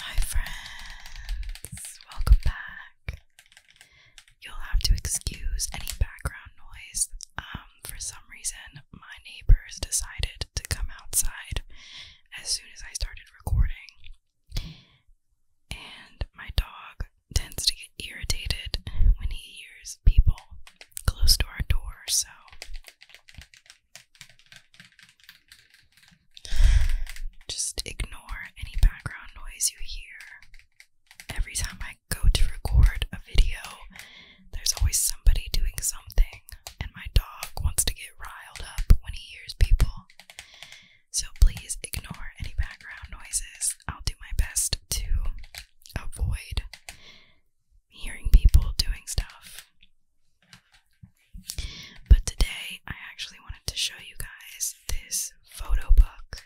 Hi, friends, welcome back. You'll have to excuse any background noise. Um, for some reason, my neighbors decided to come outside as soon as I started recording, and my dog tends to get irritated when he hears people close to our door, so just ignore any background noise you hear. Every time I go to record a video, there's always somebody doing something, and my dog wants to get riled up when he hears people. So please ignore any background noises. I'll do my best to avoid hearing people doing stuff. But today I actually wanted to show you guys this photo book.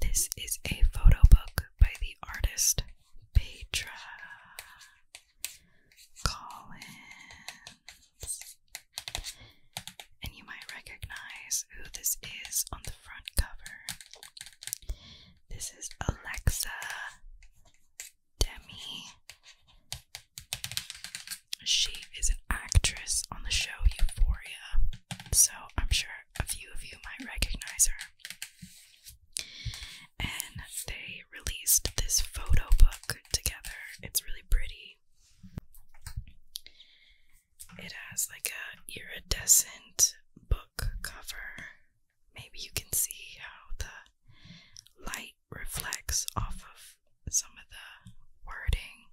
This is a photo book by the artist Petra Collins. And you might recognize who this is on the front cover. This is Alexa Demi. She is an actress on the show Euphoria, so I'm sure a few of you might recognize her. And they released this photo book together. It's really pretty. It has like a iridescent book cover. Maybe you can see how the light reflects off of some of the wording.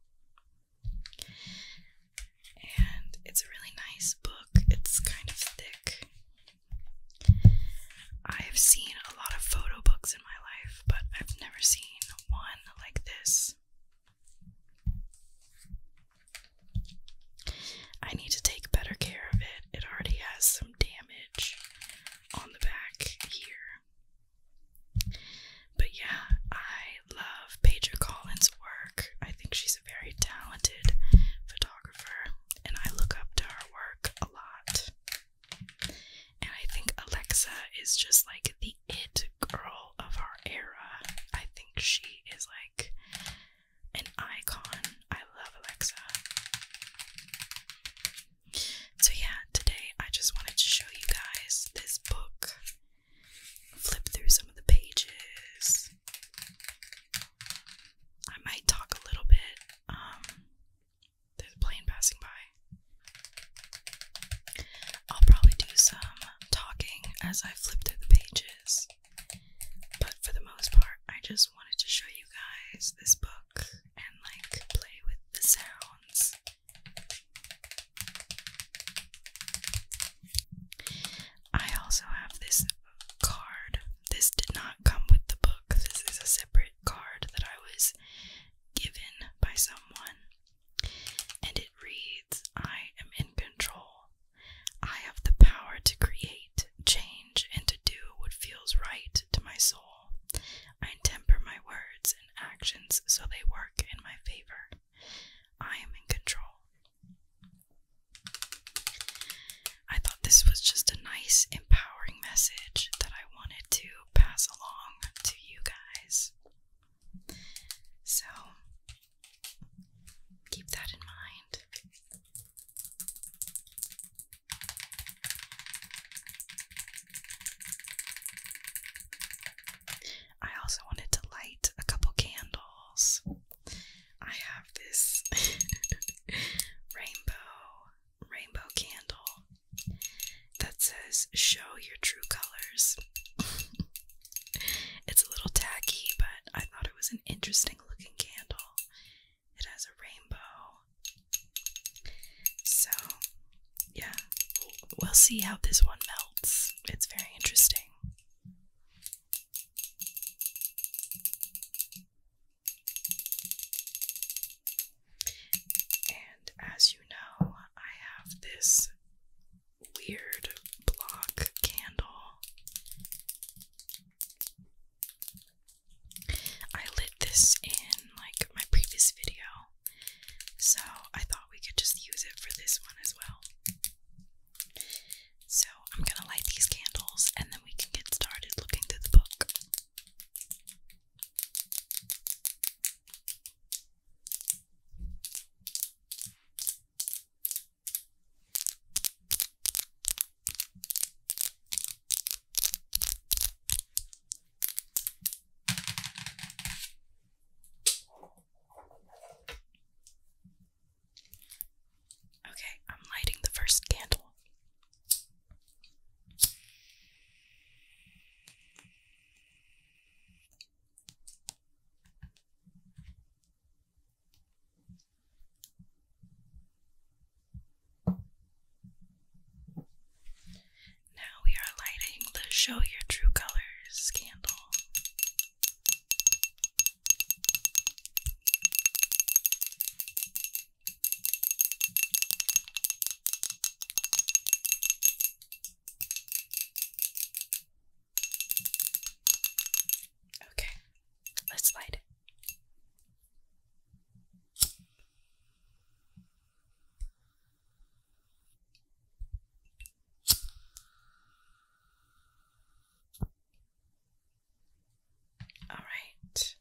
And it's a really nice book. It's kind of thick. I've seen a lot of photo books in my life, but I've never seen one like this. I need to take better care of it. It already has some damage on the back here. But yeah, I love Paige Collins' work. I think she's a very talented photographer, and I look up to her work a lot. And I think Alexa is just like the it girl of our era. I think she is like an icon. I love Alexa. So, yeah, today I just wanted to show you guys this book, flip through some of the pages. I might talk a little bit. Um, there's a plane passing by. I'll probably do some talking as I flip through the pages. But for the most part, I just wanted to show you guys this book and like play with the sounds. I also have this card. This did not come with the book. This is a separate card that I was given by someone. And it reads I am in control. I have the power to create, change, and to do what feels right to my soul. I temper my words and actions so they work in my favor. I am in control. I thought this was just a nice, empowering message that I wanted to pass along to you guys. So, Keep that in mind. I also wanted to light a couple candles. I have this rainbow rainbow candle that says show your true colors. It's a little tacky, but I thought it was an interesting looking candle. It has a rainbow. So, yeah, we'll see how this one melts. It's very interesting. And as you know, I have this weird block candle. I lit this in like my previous video, so I thought we could just use it for this one as well. So I'm gonna light these candles and then we can get started looking through the book. Okay, I'm lighting the first candle. Now we are lighting the Show Your True Colors candle. Okay, let's light it. All right.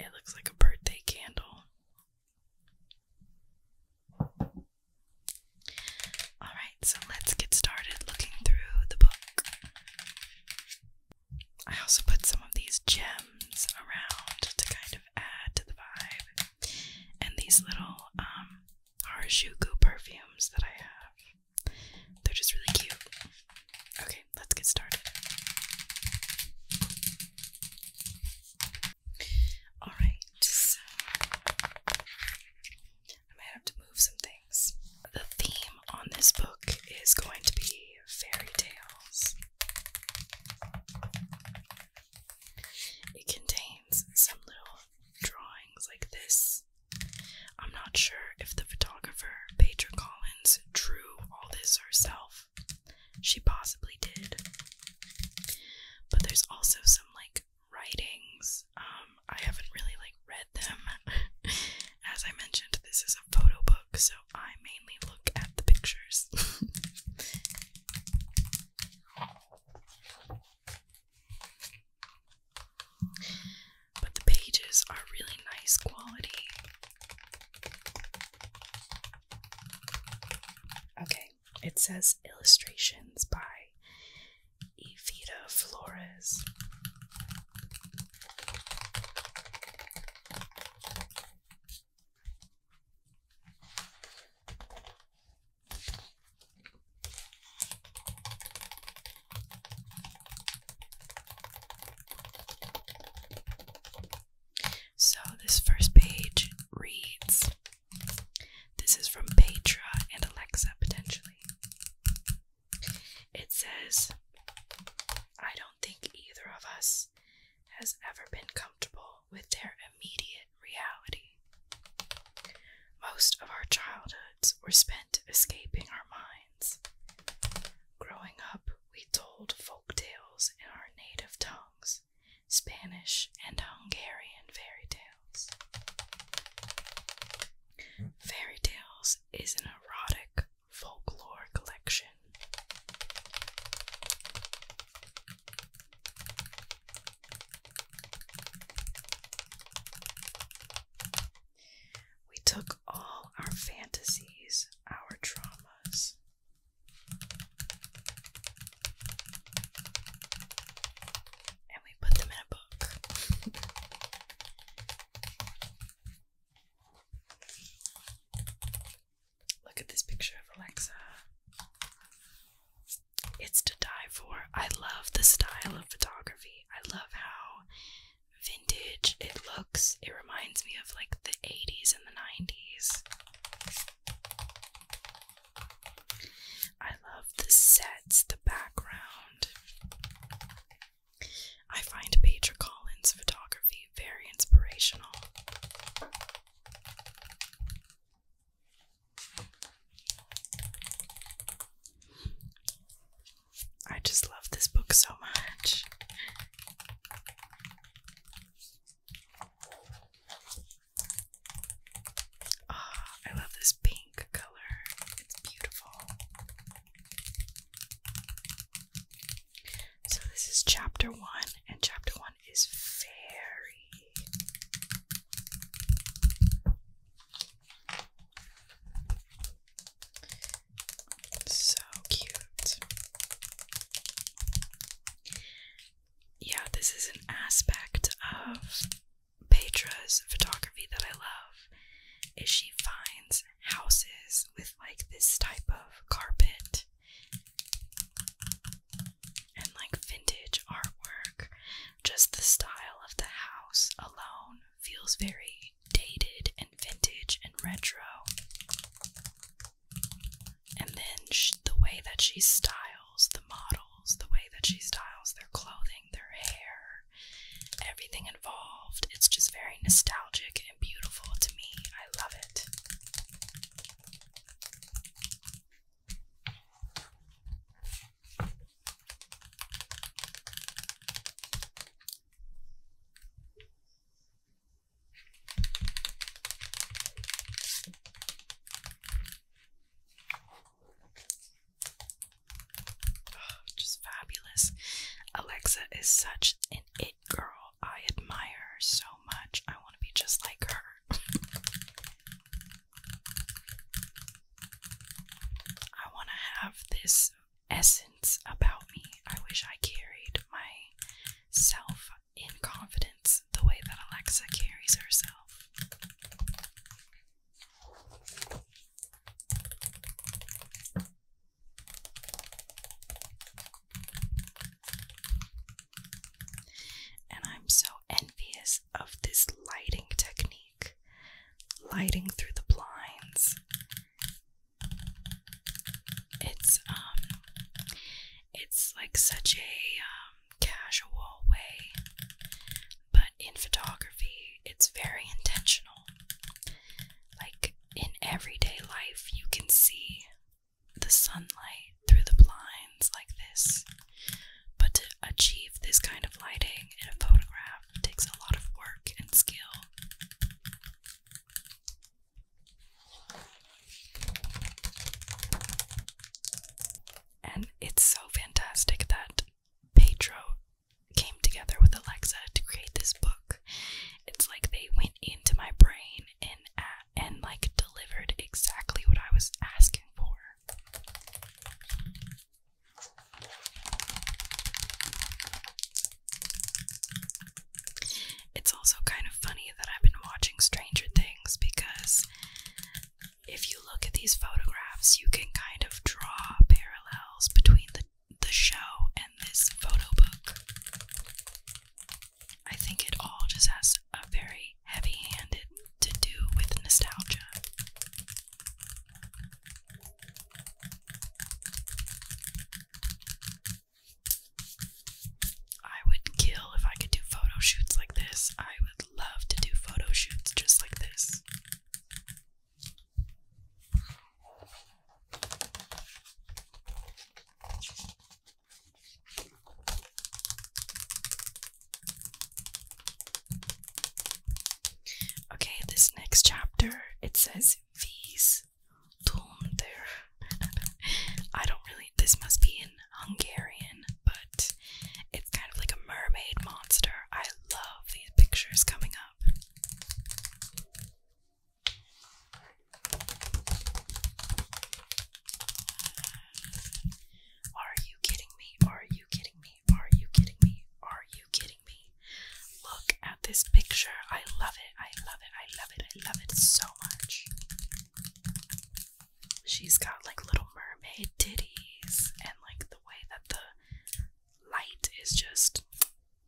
It looks like a birthday candle. Alright, so let's get started looking through the book. I also put some of these gems around to kind of add to the vibe, and these little um, Harajuku perfumes that I have. They're just really cute. Okay, let's get started. Alright, so I might have to move some things. The theme on this book is going to be fairy tales. It contains some little drawings like this. I'm not sure if the photographer, Petra Collins, drew all this herself. She possibly did, but there's also some like writings. Um, I haven't really like read them. As I mentioned, this is a photo book, so I mainly look at the pictures. but the pages are really nice quality. Okay, it says illustrations by Evita Flores. So, this first page reads this is from Petra and Alexa, potentially. It says, I don't think either of us has ever been comfortable with their immediate reality. Most of our childhoods were spent escaping our minds. Growing up, we told folk tales in our native tongues, Spanish, and Hungarian fairy tales. Fairy Tales is an erotic folklore collection. We took all our fantasies, our traumas, and we put them in a book. Look at this picture of Alexa. It's to die for. I love the style of photography. I love how vintage it looks. It reminds me of like the 80s and the 90s. I love the sets, the background. I find Petra Collins' photography very inspirational. I just love this book so much. Ah, I love this pink color. It's beautiful. So this is chapter 1 and chapter 1 is fairy. So cute yeah, this is an aspect of Petra's photography that I love is she finds houses with like this type of carpet and like vintage artwork. Just the style of the house alone feels very dated and vintage and retro and then the way that she styles the models, the way that she styles their clothing, their hair, everything involved. It's just very nostalgic and beautiful to me. I love it. Oh, just fabulous. Alexa is such an it girl. I admire her so much. I want to be just like her. I want to have this essence about me. I wish I carried myself in confidence the way that Alexa carries herself. And I'm so envious of this lighting technique, lighting through the blinds. It's um it's like such a um, casual way, but in photography, it's very intentional. Like in everyday life, you can see the sunlight through the blinds like this, but to achieve this kind of lighting in a photograph takes a lot of work and skill. And it's so fantastic that Pedro came together with Alexa to create this book. It's like they went into my brain and and like delivered exactly what I was asking for. It's also kind of funny that I've been watching Stranger Things because if you look at these photographs, you can kind of draw parallels between the, the show and this photo book. I think it all just has a very heavy handed to do with nostalgia. I would kill if I could do photo shoots like this. I would love to do photo shoots just like this. Okay, this next chapter it says V's Tulm I don't really. This must be in Hungarian, but it's kind of like a mermaid monster. I love these pictures coming up. Are you kidding me? Are you kidding me? Are you kidding me? Are you kidding me? Look at this picture. I love it. I love it. I love it. I love it so much. She's got like little mermaid ditties, and like the way that the light is just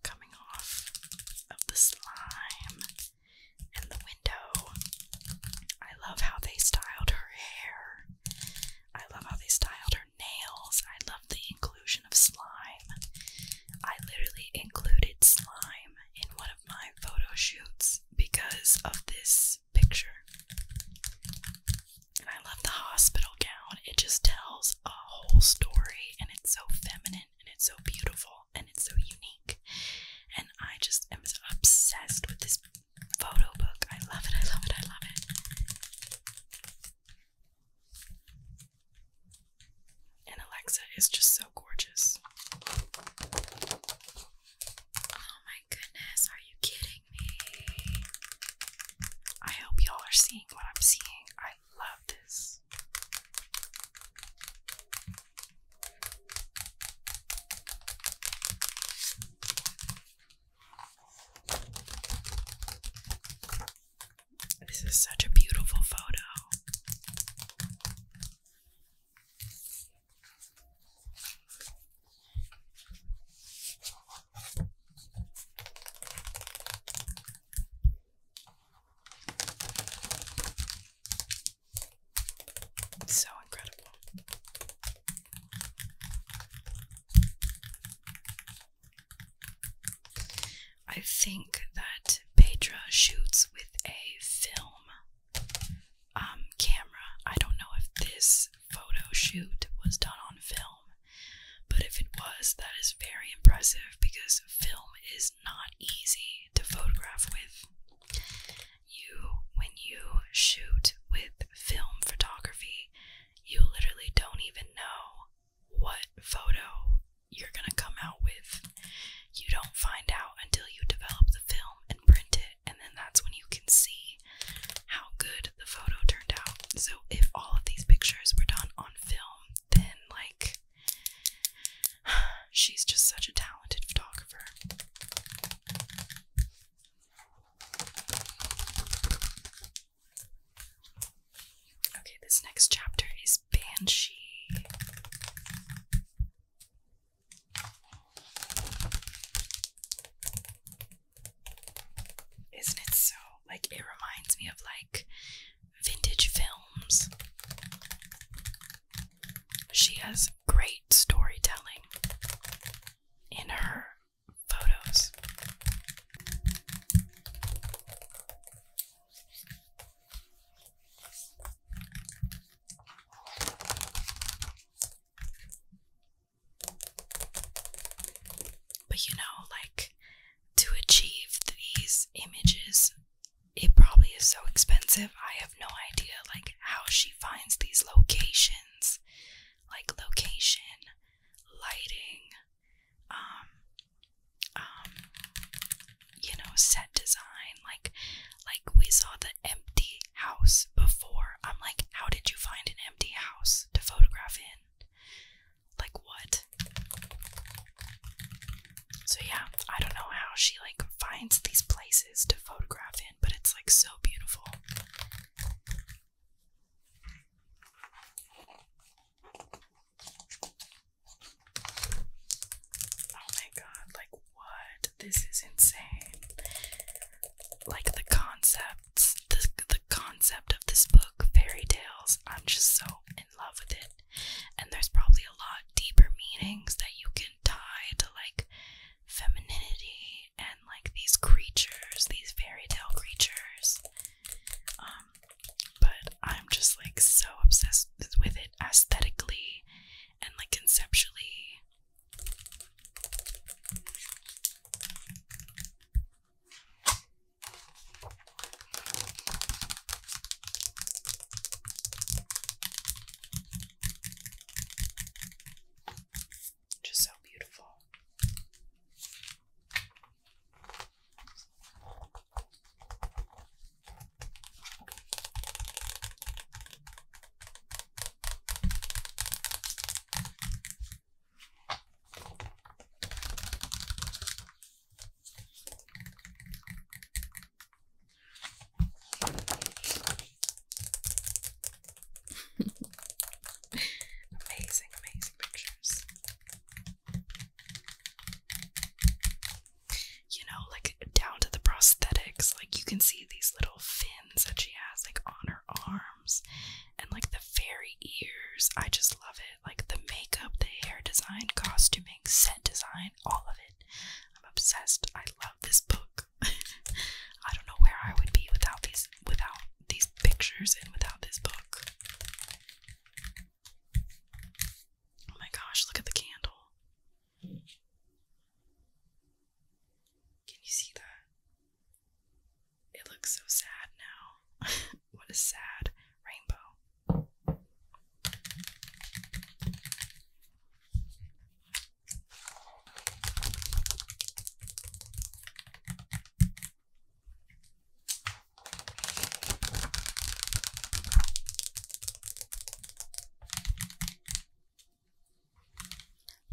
coming off of the slime and the window. I love how they styled her hair. I love how they styled her nails. I love the inclusion of slime. I literally included slime in one my photo shoots because of this picture. I love the hospital gown. It just tells a whole story and it's so feminine and it's so beautiful and it's so unique. And I just am obsessed with this photo book. I love it. I love it. I love it and Alexa is just so gorgeous. Oh my goodness, are you kidding me? I hope y'all are seeing what I'm seeing. I love this. This is such a beautiful photo so incredible. I think that Petra shoots with a film um, camera. I don't know if this photo shoot was done on film, but if it was, that is very impressive because film is not easy to photograph with. You, when you shoot with film photography, you literally don't even know what photo you're going to come out with. You don't find out until you develop the film and print it, and then that's when you can see how good the photo turned out. So, if all of these pictures were done on film, then like she's just such a talented photographer. Okay, this next chapter is Banshee. Isn't it so? Like, it reminds me of like vintage films. She has great storytelling in her photos. But you know, like to achieve these images, it probably is so expensive. I have no idea, like, how she finds these locations, like location, lighting, um, um you know set design like like we saw the empty house before i'm like how did you find an empty house to photograph in like what so yeah i don't know how she like finds these places to photograph in but it's like so beautiful Oh my god, like what? This is insane. Like the concepts, the, the concept of this book, fairy tales, I'm just so in love with it. And there's probably a lot deeper meanings that you can tie to like femininity and like these creatures, these fairy tale creatures. Um, but I'm just like so obsessed with it aesthetically and like conceptually. Just so beautiful amazing, amazing pictures you know, like down to the prosthetics. Like you can see these little fins that she has, like on her arms, and like the fairy ears. I just love it. Like the makeup, the hair design, costuming, set design, all of it. I'm obsessed. I love this book. I don't know where I would be without these, without these pictures and without this book. Oh my gosh, look at the candle. Can you see that? It looks so sad now. what a sad rainbow.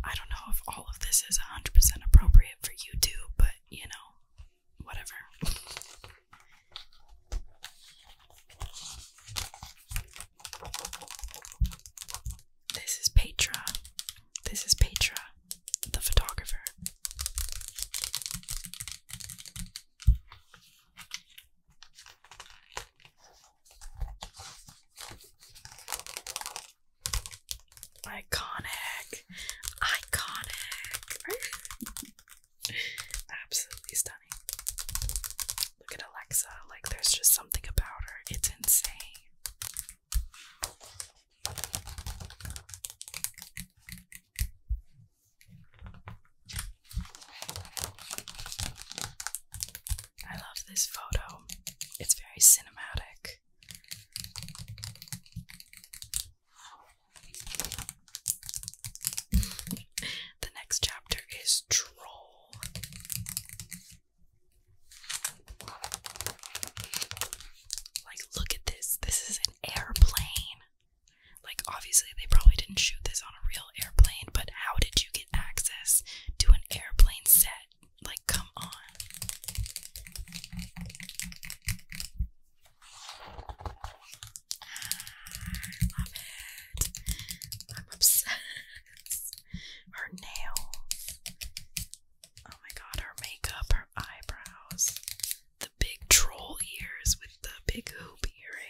I don't know if all of this is 100% appropriate for YouTube, but you know, whatever. This is Petra. This is Petra, the photographer. Iconic. Iconic. Absolutely stunning. Look at Alexa. Like, there's just something about her. It's insane. I love this photo. It's very cinematic. the next chapter is Troll. Like, look at this. This is an airplane. Like, obviously, they probably didn't shoot this on a real airplane, but how did you get access to an airplane set? Like, come on. Ah, I am obsessed. Her nails. Oh my god, her makeup, her eyebrows. The big troll ears with the big hoop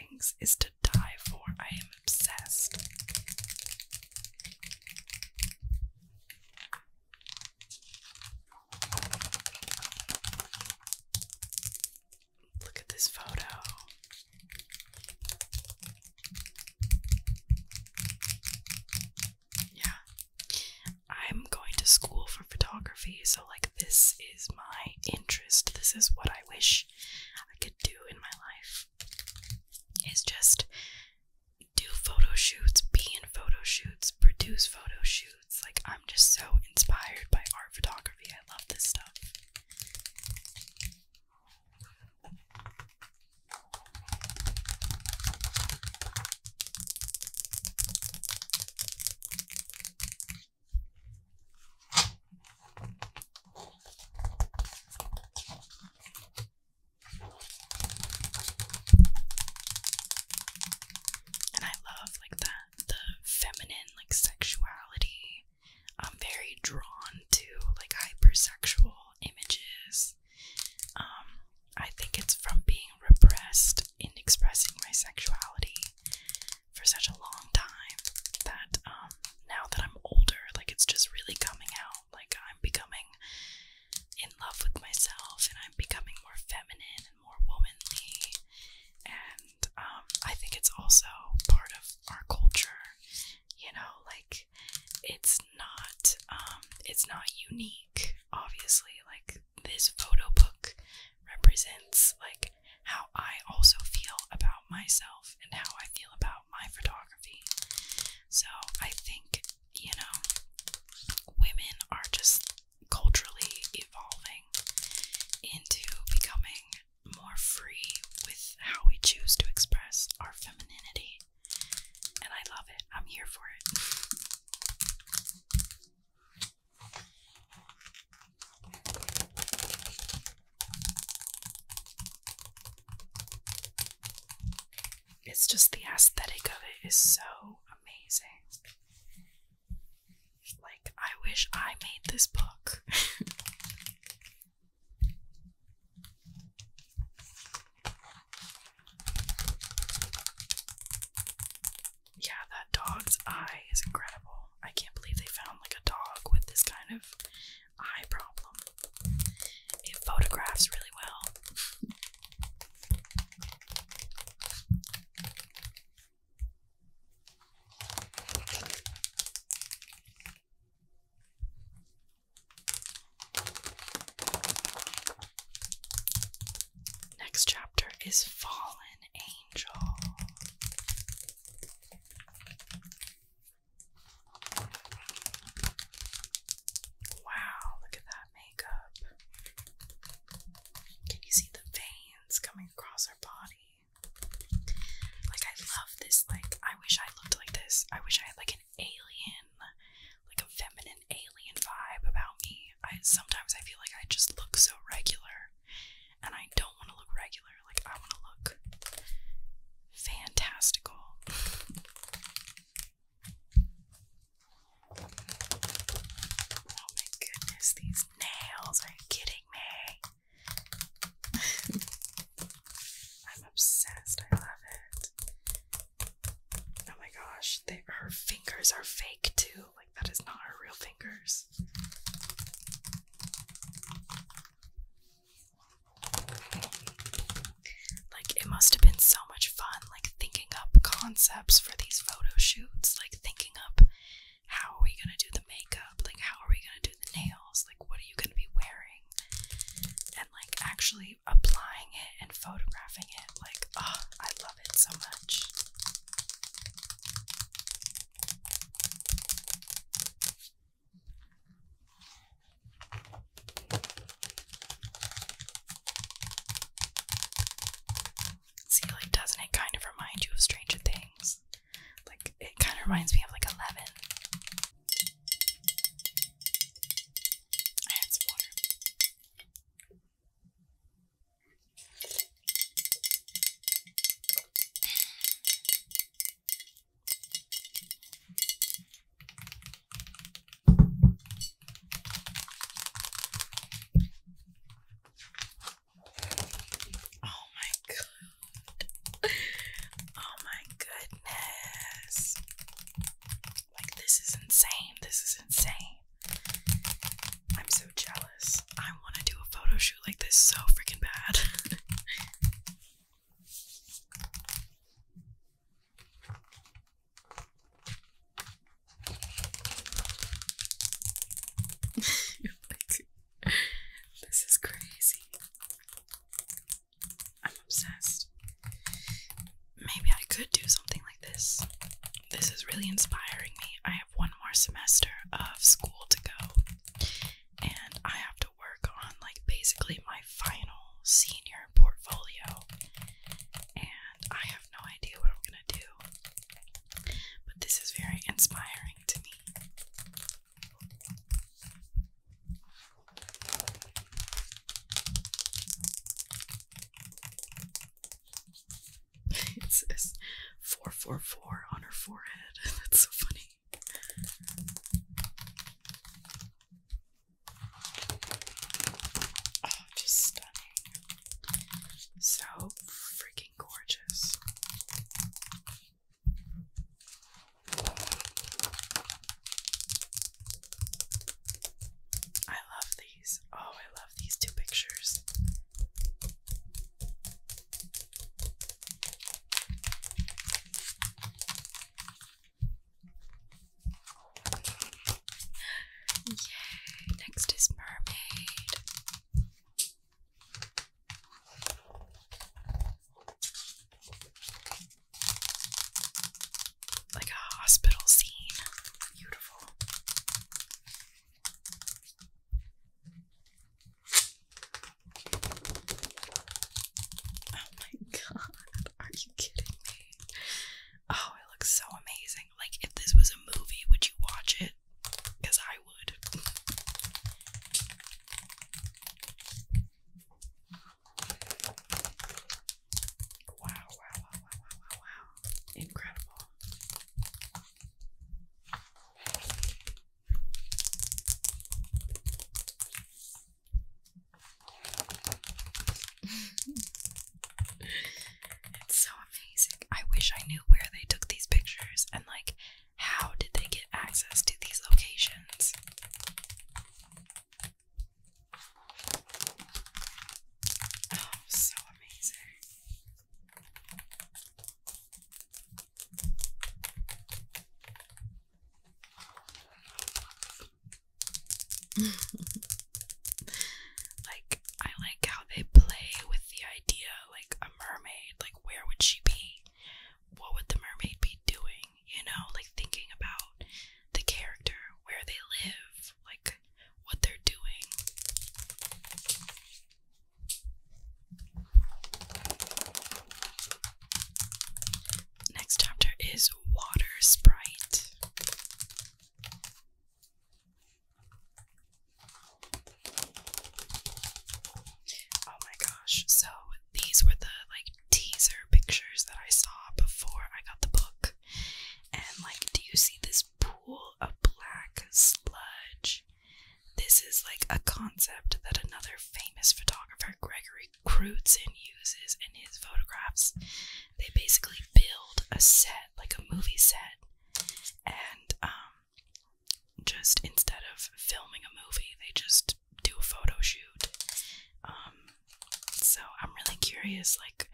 earrings is to die for. I am obsessed. Look at this photo. Yeah. I'm going to school for photography, so like this is my interest, this is what I wish I could do in my life is just do photo shoots, be in photo shoots, produce photo shoots. Like, I'm just so inspired by art photography. I love this stuff. And I love like that the feminine like sexuality. I'm very drawn to like hypersexual images. Um, I think it's from being repressed in expressing my sexuality for such a long time that um now that I'm older, like it's just really coming out. Like I'm becoming in love with myself and I'm becoming more feminine and more womanly. And um I think it's also part of our culture, you know, like it's not um it's not unique, obviously. Like this photo book represents like how I also feel about myself and how I feel about my photography. So I think, you know, women are just culturally evolving into becoming more free with how we choose to express our femininity. And I love it. I'm here for it. It's just the aesthetic of it is so amazing. Like, I wish I made this book. yeah, that dog's eye is incredible. I can't believe they found like a dog with this kind of eye problem. It photographs really well. Next chapter is Fallen Angel. Wow, look at that makeup. Can you see the veins coming across her body? Like I love this, like I wish I looked like this. I wish I had like an alien, like a feminine alien vibe about me. I sometimes I feel like I just look so regular, and I don't want to look regular. Like I want to look fantastical. Oh my goodness, these nails! Are you kidding me? I'm obsessed. I love it. Oh my gosh, her fingers are fake too that is not her real fingers. Like, it must have been so much fun, like, thinking up concepts for these photo shoots, like, thinking up how are we gonna do the makeup, like, how are we gonna do the nails, like, what are you gonna be wearing, and like, actually applying it and photographing it. Like, oh, I love it so much. See, like, doesn't it kind of remind you of Stranger Things? Like, it kind of reminds me of like Eleven. Oh my god. Oh my goodness. Like this is insane. This is insane. I'm so jealous. I want to do a photo shoot like this so freaking bad. this is crazy. I'm obsessed. Maybe I could do something like this this is really inspiring me. I have one more semester of school to go, and I have to work on like basically my final senior portfolio, and I have no idea what I'm gonna do, but this is very inspiring to me it says 444 on her forehead. That's so funny. Oh, just stunning. So freaking gorgeous. I love these. Oh, I love these two pictures. Yay! Next is mermaid. Like a hospital scene. Oh my god, are you kidding me? Oh, it looks so amazing. Like, if this was a movie, would you watch it? Because I would. Wow, wow, wow, wow, wow, wow, wow. Incredible. it's so amazing. I wish I knew where they took these pictures and, like, how did they get access to these locations. Oh, so amazing. like, I like how they play with the idea like a mermaid, like, where would she be? What would the mermaid be doing? You know, like thinking about the character, where they live, like what they're doing. Next chapter is Water Sprite. Oh my gosh. So these were the like teaser pictures that I saw before I got the book. And like, do you see this this pool of black sludge. This is like a concept that another famous photographer, Gregory Crutzen, uses in his photographs. They basically build a set, like a movie set, and um, just instead of filming a movie, they just do a photo shoot. Um, so I'm really curious, like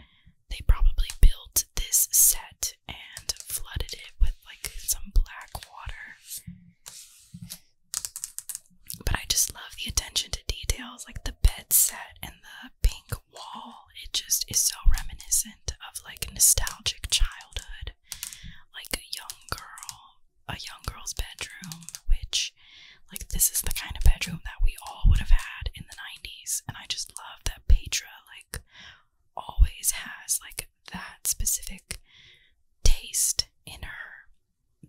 they probably built this set and flooded it with like some black water. But I just love the attention to details, like the bed set and the pink wall. It just is so reminiscent of like nostalgic childhood, like a young girl, a young girl's bedroom, which, like, this is the kind of bedroom that we all would have had in the 90s and I just love that Petra like always has like that specific taste in her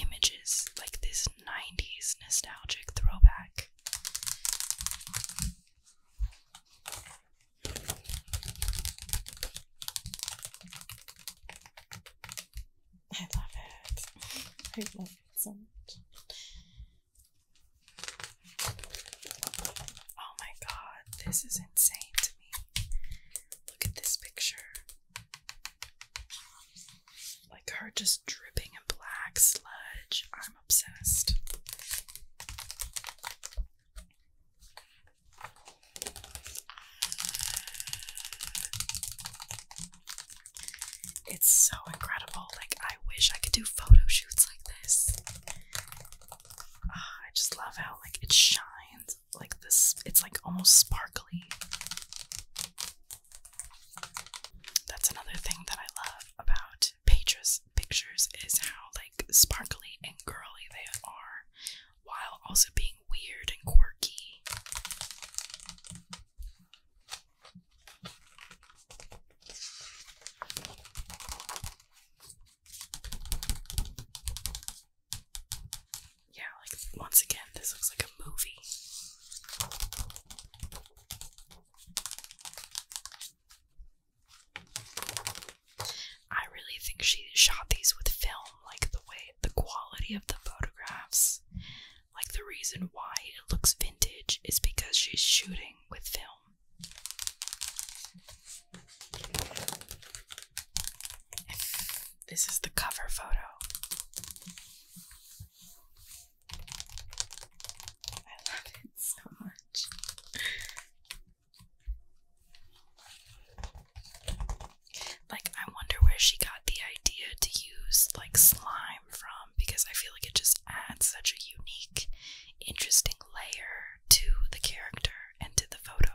images like this 90s nostalgic throwback. I love it. I love it so much. Oh my god, this is insane to me. Look at this picture. Like her just dripping in black sludge. I'm obsessed. It's so incredible. Like, I wish I could do photo shoots like this. Ah, I just love how, like, it shines. Like, this, it's like almost sparkly. That's another thing that I love about Patra's pictures is how, like, sparkly and girly they are while also being weird and quirky. Yeah, like once again, this looks like a movie. I really think she shot these with film, like the way the quality of the photographs like, the reason why it looks vintage is because she's shooting with film. This is the cover photo. I love it so much. Like, I wonder where she got the idea to use, like, slime because I feel like it just adds such a unique, interesting layer to the character and to the photo.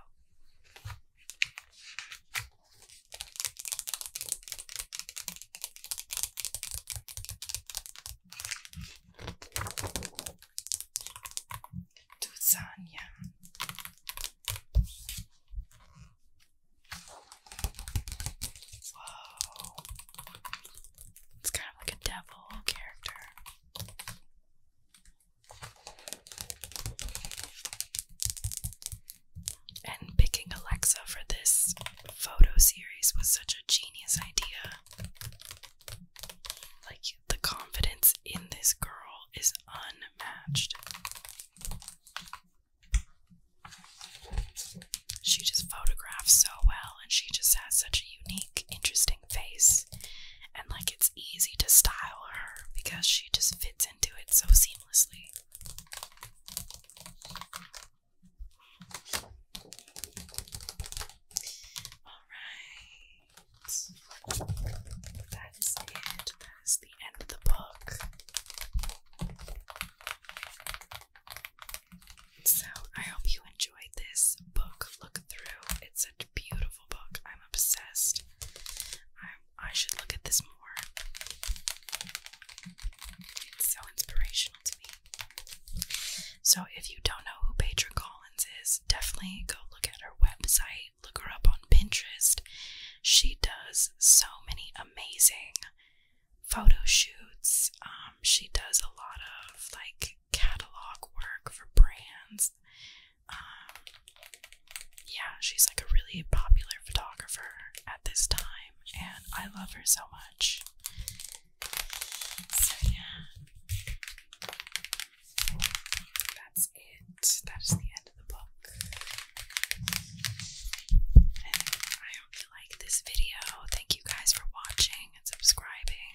Tuzania. It's kind of like a devil character. And picking Alexa for this photo series was such a genius idea. Like, the confidence in this girl is unmatched. She just photographs so well, and she just has such a unique, interesting face. And like it's easy to style her because she just fits into it so seamlessly. All right. That is it. That is the end of the book. So, I hope you enjoyed this book look through. It's a beautiful book. I'm obsessed. I, I should look at this more. It's so inspirational to me. So, if you don't know who Petra Collins is, definitely go look at her website, look her up on Pinterest. She does so many amazing photo shoots. Um, she does a lot of like catalog work for brands. Um, yeah, she's like a really popular photographer at this time, and I love her so much. So, yeah, that's it. That is the end of the book hope you like this video. Thank you guys for watching and subscribing.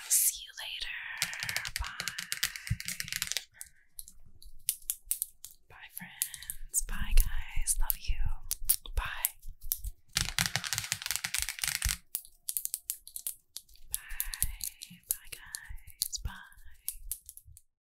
I'll see you later. Bye. Bye, friends. Bye, guys. Love you. Bye. Bye. Bye, guys. Bye.